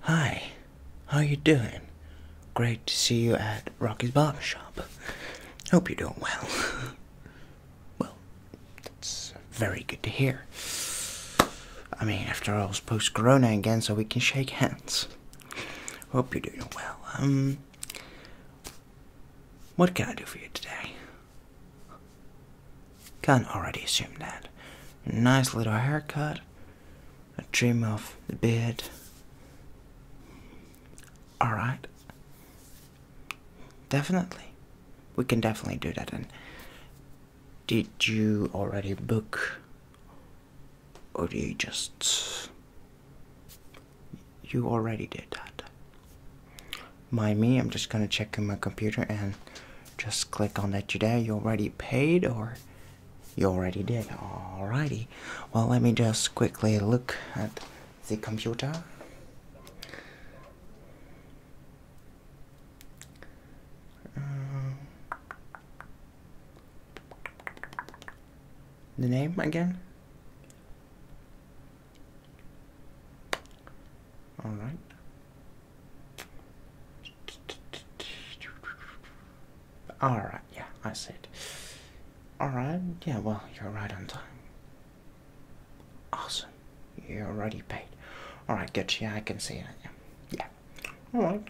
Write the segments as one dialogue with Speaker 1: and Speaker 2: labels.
Speaker 1: Hi, how you doing? Great to see you at Rocky's Barber Shop. Hope you're doing well. well, that's very good to hear. I mean, after all, it's post-corona again, so we can shake hands. Hope you're doing well. Um, what can I do for you today? can already assume that. Nice little haircut, a dream of the beard. Alright. Definitely. We can definitely do that. And did you already book? Or do you just. You already did that. Mind me, I'm just gonna check in my computer and just click on that today. You already paid or you already did. Alrighty. Well, let me just quickly look at the computer. Uh, the name again? Alright. All right, yeah, I see it. All right, yeah, well, you're right on time. Awesome, you're already paid. All right, good, yeah, I can see it. Yeah, all right,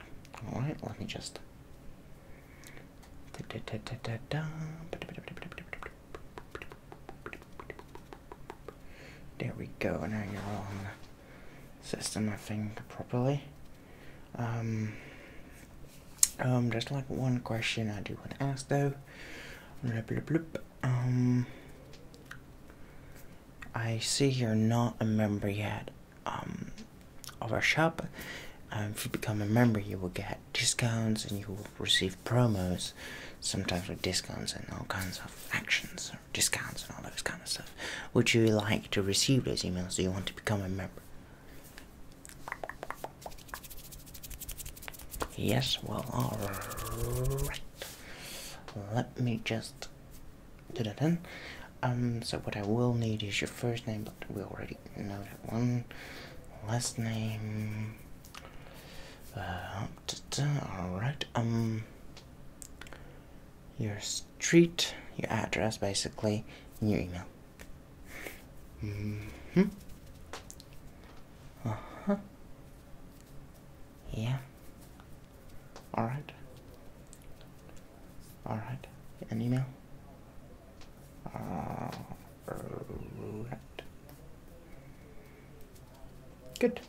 Speaker 1: all right, let me just. There we go, now you're on system, I think, properly. Um, um, just like one question I do want to ask though. Um, I see you're not a member yet um, of our shop. Um, if you become a member, you will get discounts and you will receive promos, sometimes with discounts and all kinds of actions, discounts and all those kind of stuff. Would you like to receive those emails? Do you want to become a member? Yes, well, alright. Let me just do that then. Um, so what I will need is your first name, but we already know that one. Last name. Uh, alright, um your street, your address basically, and your email. Mm hmm Uh-huh. Yeah. Alright. Alright. An email? Uh, Alright. Good.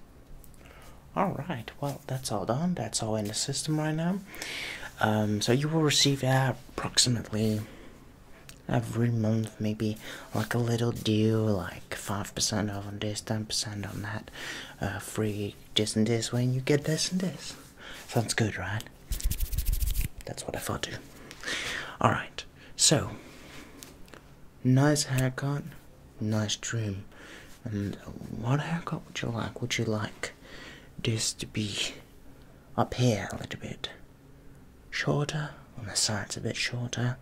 Speaker 1: Alright, well, that's all done. That's all in the system right now. Um, so you will receive that approximately every month, maybe like a little deal, like 5% on this, 10% on that, uh, free this and this when you get this and this. Sounds good, right? That's what I thought too. Alright, so nice haircut, nice dream. And what haircut would you like? Would you like this to be up here a little bit shorter? On the sides a bit shorter?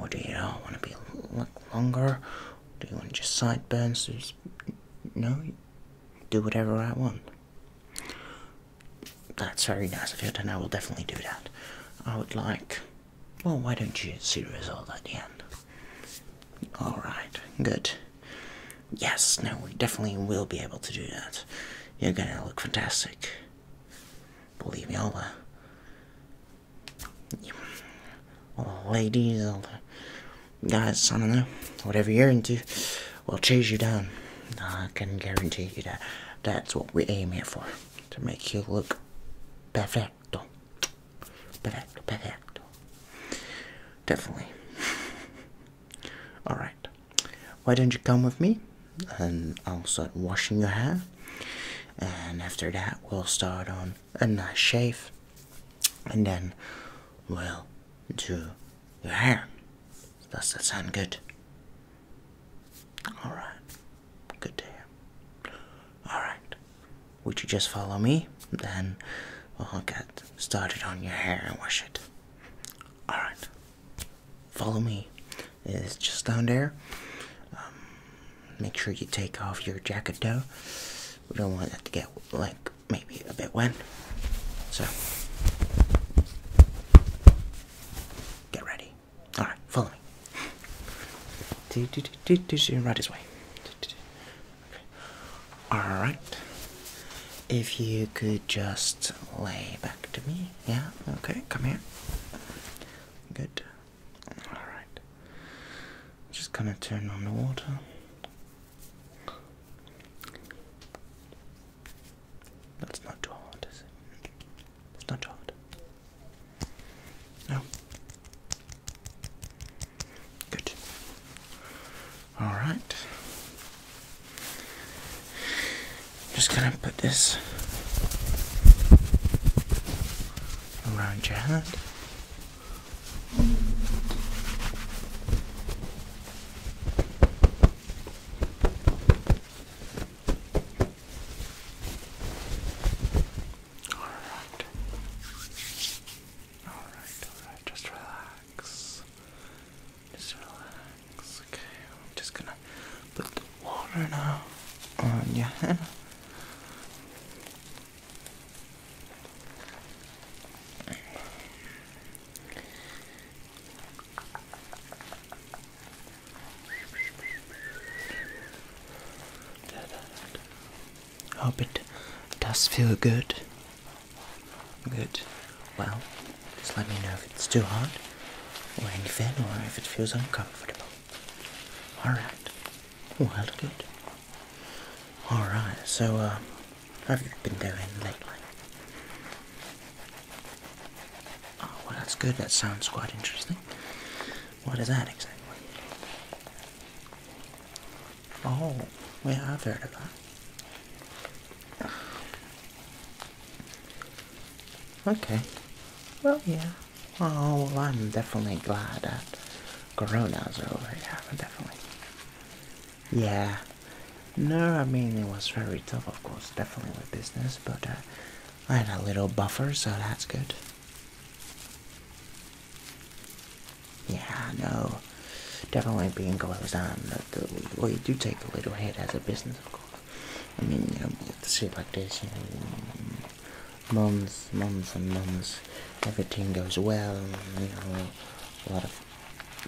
Speaker 1: Or do you want to be like longer? Do you want just sideburns? Just, no? Do whatever I want. That's very nice of you, and I will definitely do that. I would like well, why don't you see the result at the end? Alright, good. Yes, no, we definitely will be able to do that. You're gonna look fantastic. Believe me, all the, uh, all the ladies, all the guys, I don't know, whatever you're into, we will chase you down. I can guarantee you that that's what we aim here for, to make you look perfect. Definitely. Alright. Why don't you come with me? And I'll start washing your hair. And after that, we'll start on a nice shave. And then we'll do your hair. Does that sound good? Alright. Good to Alright. Would you just follow me? Then i will get started on your hair and wash it. Alright. Follow me. It's just down there. Um, make sure you take off your jacket though. We don't want that to get like maybe a bit wet. So get ready. All right, follow me. Right this way. All right. If you could just lay back to me, yeah. Okay, come here. Good. All right. Just gonna turn on the water. That's not too hard, is it? It's not chocolate. No. Good. All right. Just gonna put this around your head. Alright. Alright, alright, just relax. Just relax. Okay, I'm just gonna put the water now on your head. Hope oh, it does feel good. Good. Well, just let me know if it's too hot or anything or if it feels uncomfortable. Alright. Well, good. Alright, so, uh, have you been doing lately? Oh, well, that's good. That sounds quite interesting. What is that exactly? Oh, yeah, I've heard of that. Okay. Well, yeah. Oh, well, I'm definitely glad that Corona's over. Yeah, I'm definitely. Yeah. No, I mean, it was very tough, of course, definitely with business, but uh, I had a little buffer, so that's good. Yeah, no, definitely being goes on. but the, well, you do take a little hit as a business, of course. I mean, you have to see like this, you know, months, months and months, everything goes well, you know, a lot of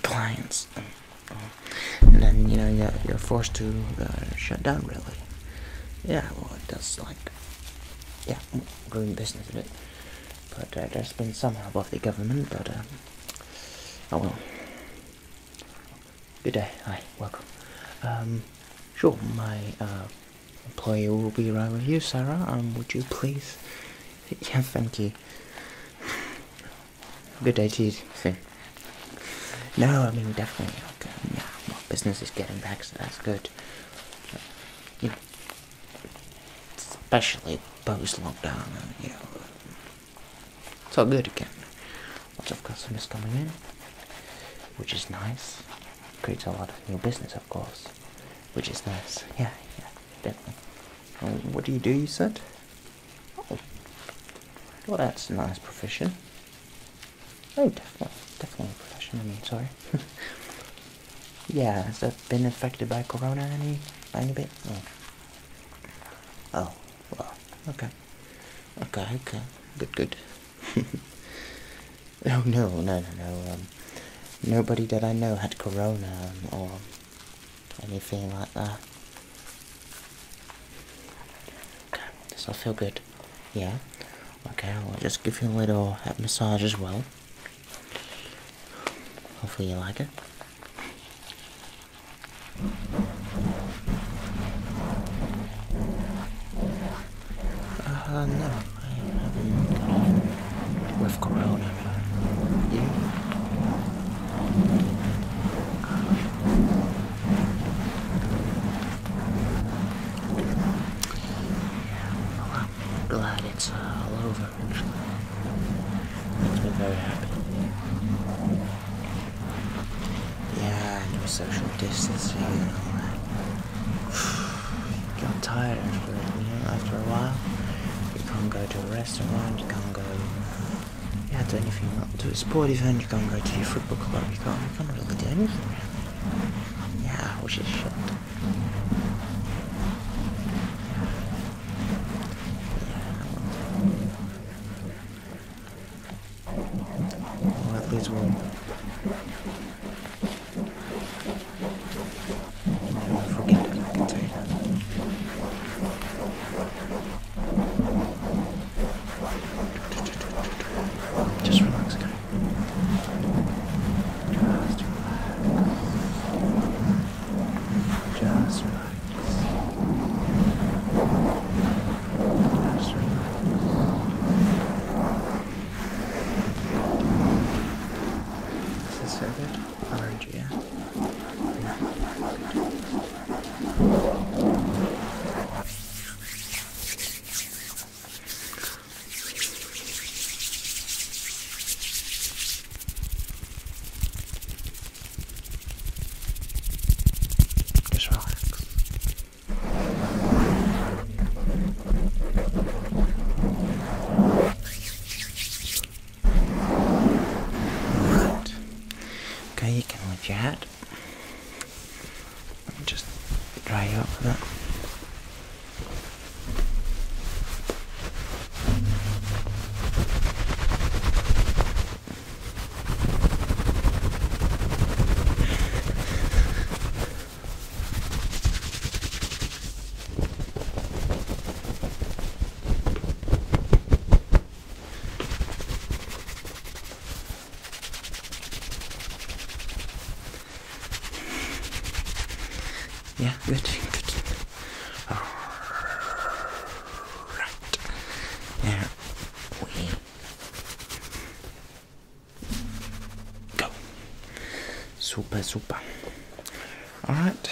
Speaker 1: clients. And then, you know, you're, forced to uh, shut down, really. Yeah, well, it does like yeah, growing business a bit, But uh, there's been some help off the government, but um, oh well. Good day, hi, welcome. Um, sure, my uh, employee will be around with you, Sarah. Um, would you please? Yeah, thank you. Good day to See. No, I mean definitely. Like, yeah, my business is getting back, so that's good. especially post lockdown, you know, it's all good again. Lots of customers coming in, which is nice. Creates a lot of new business, of course, which is nice. Yeah, yeah, definitely. Um, what do you do? You said. Oh, well, that's a nice profession. Oh, definitely, definitely a profession. I mean, sorry. yeah, has that been affected by Corona any, a bit? Oh. oh. well, okay, okay, okay, good, good. oh no, no, no, no. Um, nobody that I know had Corona um, or anything like that. Okay, does that feel good? Yeah? Okay, I'll just give you a little massage as well. Hopefully you like it. Uh, no, I have got off well, I'm glad it's uh, all over, actually. Makes me very happy. Yeah, no social distancing and all that. Got tired after, a while. You can't go to a restaurant, you can't go yeah, to anything, to a sport event, you can't go to your football club, you can't, you can't really do anything. Yeah, which is shit. Yeah. Well, at least we'll never forget it, just relax, okay? Just relax. Just relax. Just relax. Is this so good? Orange, yeah? yeah relax. Right. Okay, you can lift your head. Let me just dry you up with that. Yeah, good, good. Alright. There we go. Super, super. Alright.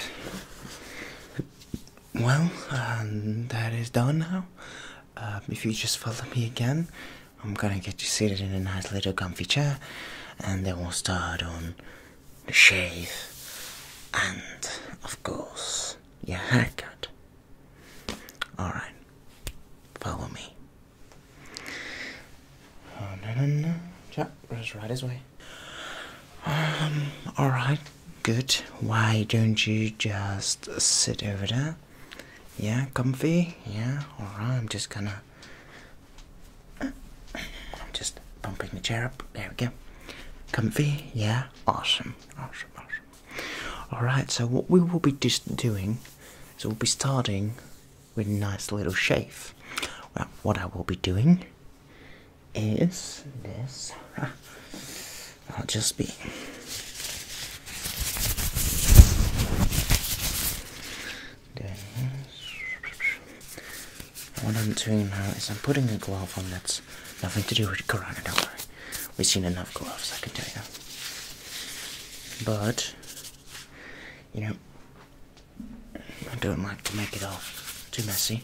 Speaker 1: Well, um, that is done now. Um, if you just follow me again, I'm gonna get you seated in a nice little comfy chair, and then we'll start on the shave and, of course, your haircut. Alright, follow me. Oh, no, no, no. just right this way. Um, alright, good. Why don't you just sit over there? Yeah, comfy? Yeah, alright, I'm just gonna. I'm just bumping the chair up. There we go. Comfy? Yeah, awesome, awesome, awesome. Alright, so what we will be just doing is we'll be starting with a nice little shave. Well, what I will be doing is this. I'll just be doing this. What I'm doing now is I'm putting a glove on that's nothing to do with Corona, don't worry. We've seen enough gloves, I can tell you. But, you know, I don't like to make it all too messy.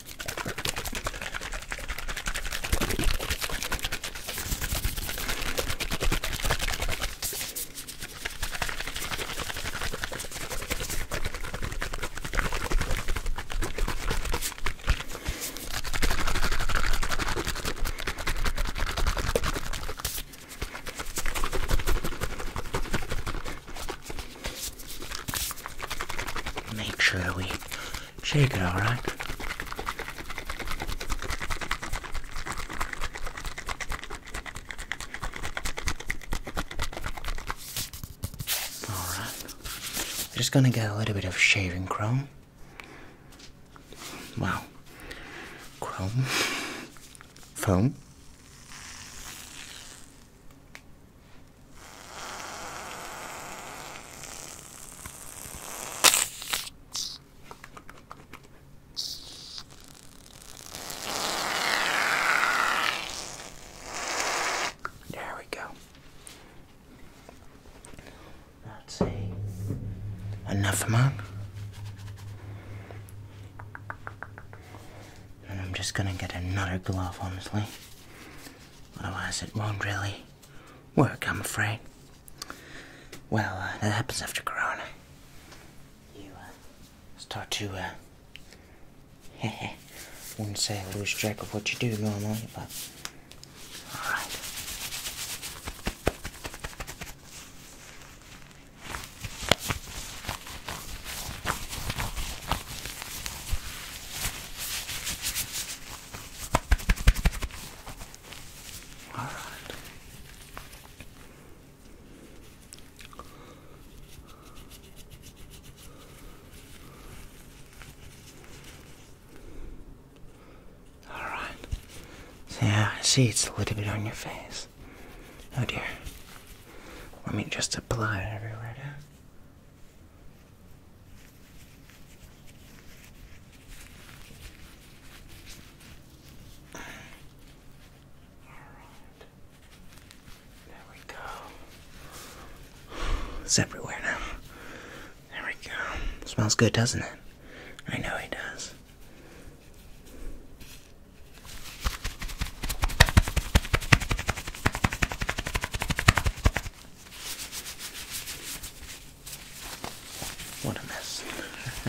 Speaker 1: Make sure we Shake it, all right? just gonna get a little bit of shaving cream. Wow. Chrome. Foam. There we go. let Enough man. And I'm just gonna get another glove, honestly. Otherwise, it won't really work, I'm afraid. Well, uh, that happens after Corona. You uh, start to, uh, wouldn't say I lose track of what you do normally, but alright. All right. All right. yeah, I see it's a little bit on your face. Oh dear. Let me just apply it everywhere now. It's everywhere now. There we go. Smells good, doesn't it? I know it does. What a mess.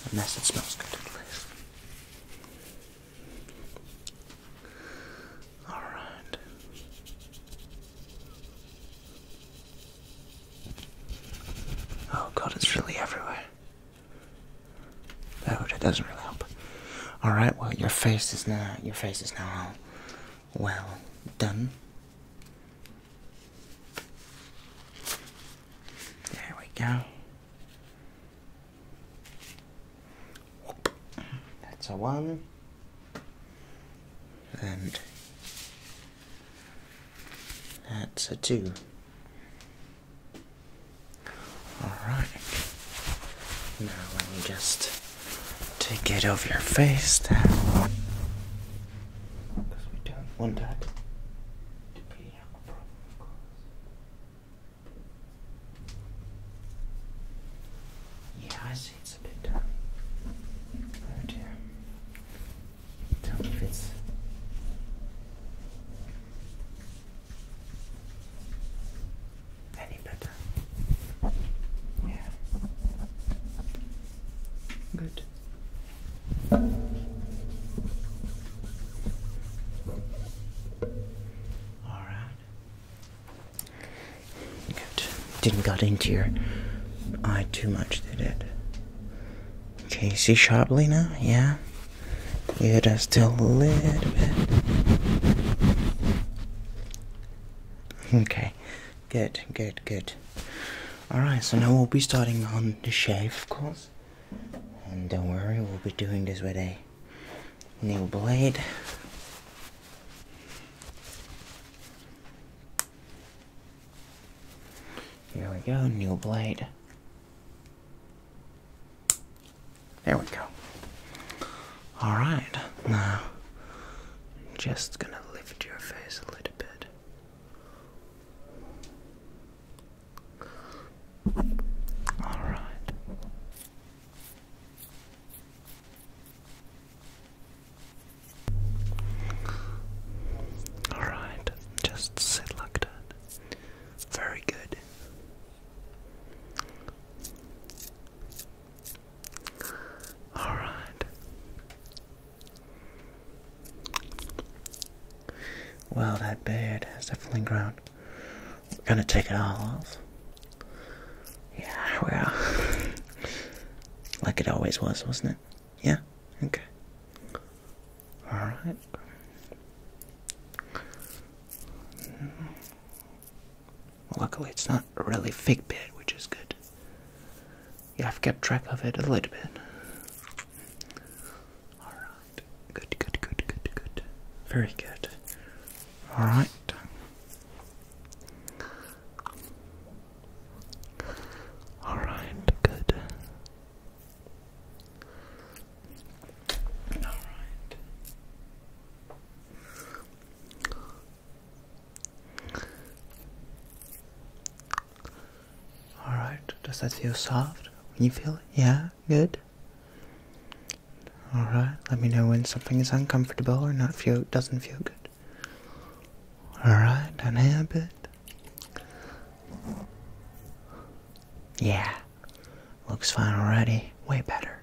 Speaker 1: a mess smells good, anyways. All right. Oh god, it's really everywhere. Oh, that doesn't really help. All right. Well, your face is now your face is now all well done. There we go. That's a one. And that's a two. Alright. Now let me just take it off your face. Down. we done one dot. Yeah, I see it's a bit done. Right here. Tell me if any better? Yeah. Good. All right. Good. Didn't got into your eye too much, did it? Okay, see sharply now? Yeah? Yeah, just a little bit. Okay, good, good, good. Alright, so now we'll be starting on the shave, of course. And don't worry, we'll be doing this with a new blade. Here we go, new blade. There we go. All right, now just gonna lift your face a little bit. All right. All right, just sit like that. Very good. All right. Well, that beard has definitely grown. We're gonna take it all off. Yeah, well, like it always was, wasn't it? Yeah. Okay. All right. luckily, it's not a really big bit, which is good. Yeah, I've kept track of it a little bit. All right. Good, good, good, good, good. Very good. All right. All right, good. All right. All right. Does that feel soft? you feel it? Yeah, good. All right. Let me know when something is uncomfortable or not feel doesn't feel good. All right. a bit. Yeah, looks fine already. Way better.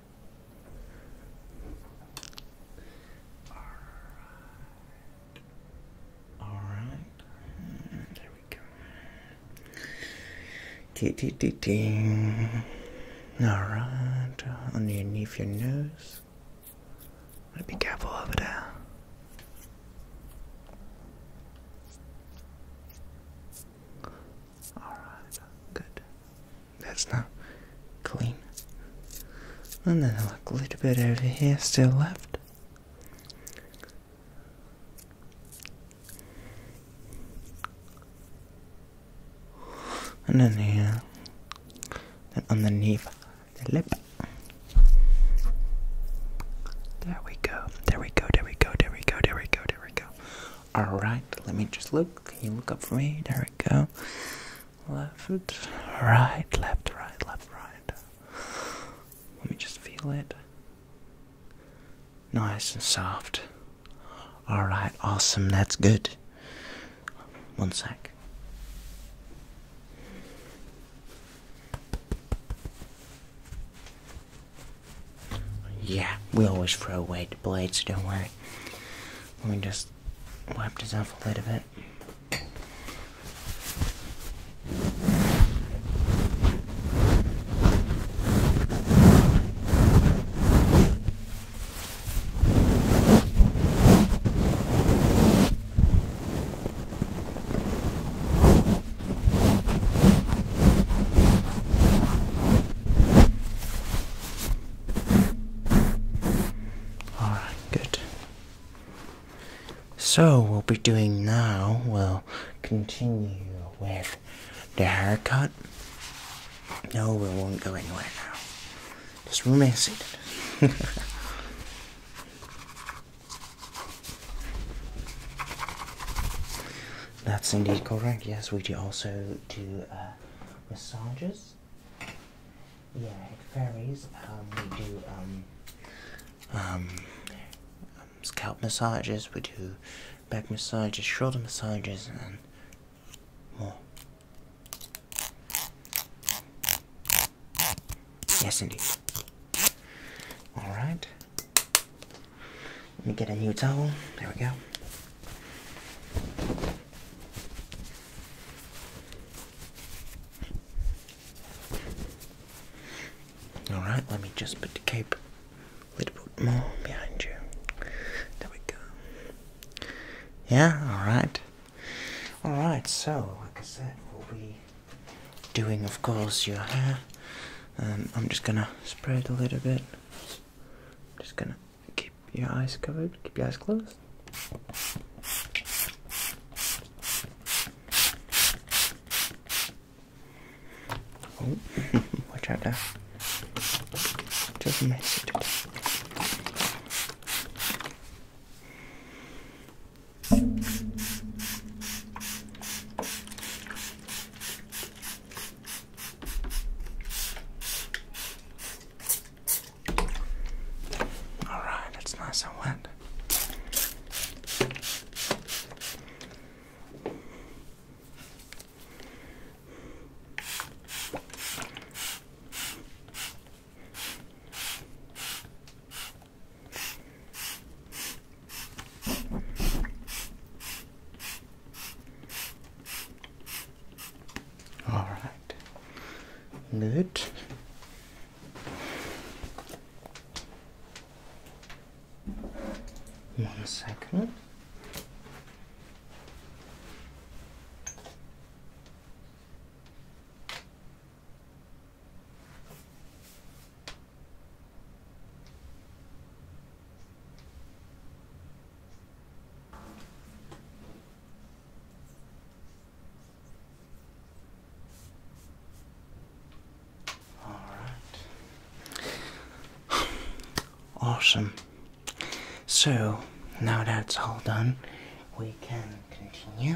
Speaker 1: All right. All right. There we go. Dee, dee, dee, dee. All right. Underneath your nose. Be careful over there. Alright, good. That's not clean. And then a little bit over here still left. And then here, And underneath the lip. There we go. There we go, there we go, there we go, there we go, there we go. Alright, let me just look. Can you look up for me? There we go. Left, right, left, right, left, right. Let me just feel it. Nice and soft. Alright, awesome, that's good. One sec. Yeah, we always throw away the blades, don't worry. Let me just wipe this off a little bit. All right, good. So, we'll be doing now, we'll continue with the haircut. No, we won't go anywhere now. Just remain seated. That's indeed correct. Yes, we do also do uh, massages. Yeah, it varies. Um, we do um, um, scalp massages. We do back massages, shoulder massages, and more. Yes, indeed. All right. Let me get a new towel. There we go. Alright, let me just put the cape a little bit more behind you. There we go. Yeah, alright. Alright, so like I said, we'll be doing, of course, your hair. Um, I'm just gonna spread a little bit. Just gonna keep your eyes covered, keep your eyes closed. Oh, watch out there. Just mess it. All right, it's nice and wet. All right. Good. One second. All right. Awesome. So now that's all done, we can continue.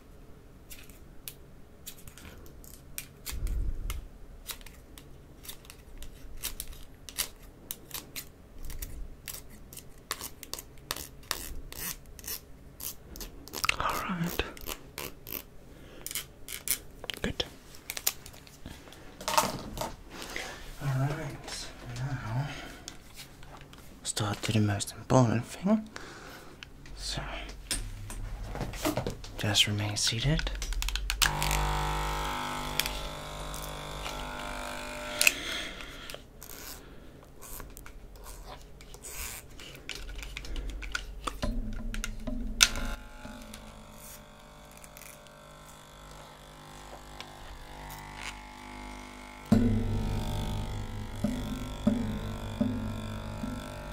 Speaker 1: All right. Good. All right. Now, start to the most important thing. So just remain seated.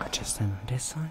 Speaker 1: i just stand on this side.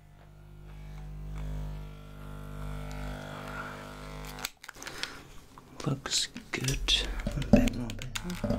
Speaker 1: Looks good. A bit more better.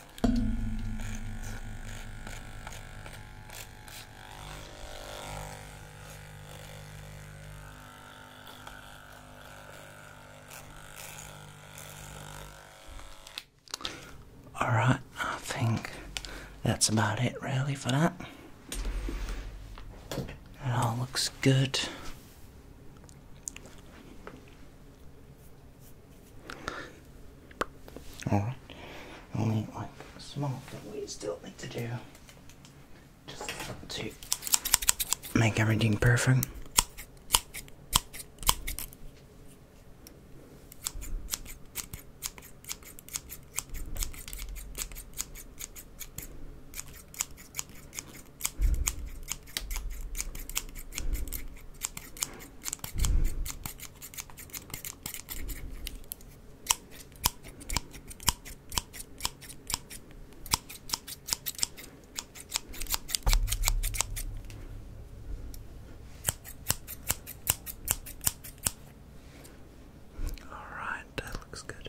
Speaker 1: All right, I think that's about it really for that. It all looks good. Alright. Only like small thing we still need to do. Just to make everything perfect. All right, that looks good.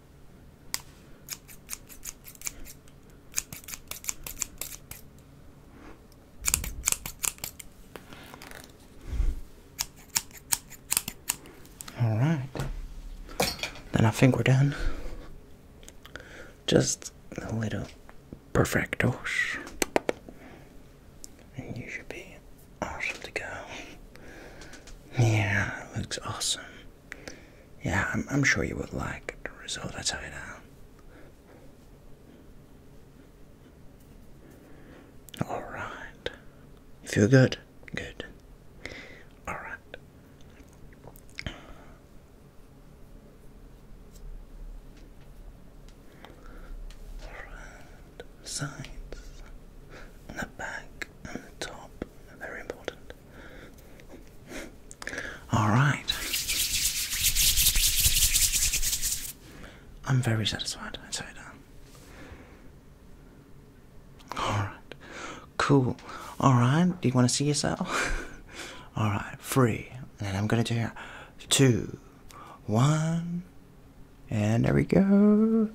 Speaker 1: All right. Then I think we're done. Just a little perfecto, And you should be awesome to go. Yeah, looks awesome. Yeah, I'm, sure you would like the result, I tell you Alright. feel good? Good. Alright. Sides. In the back and the top very important. Alright. I'm very satisfied, i say that. Alright. Cool. Alright, do you want to see yourself? Alright, free. And I'm going to do two, one, and there we go.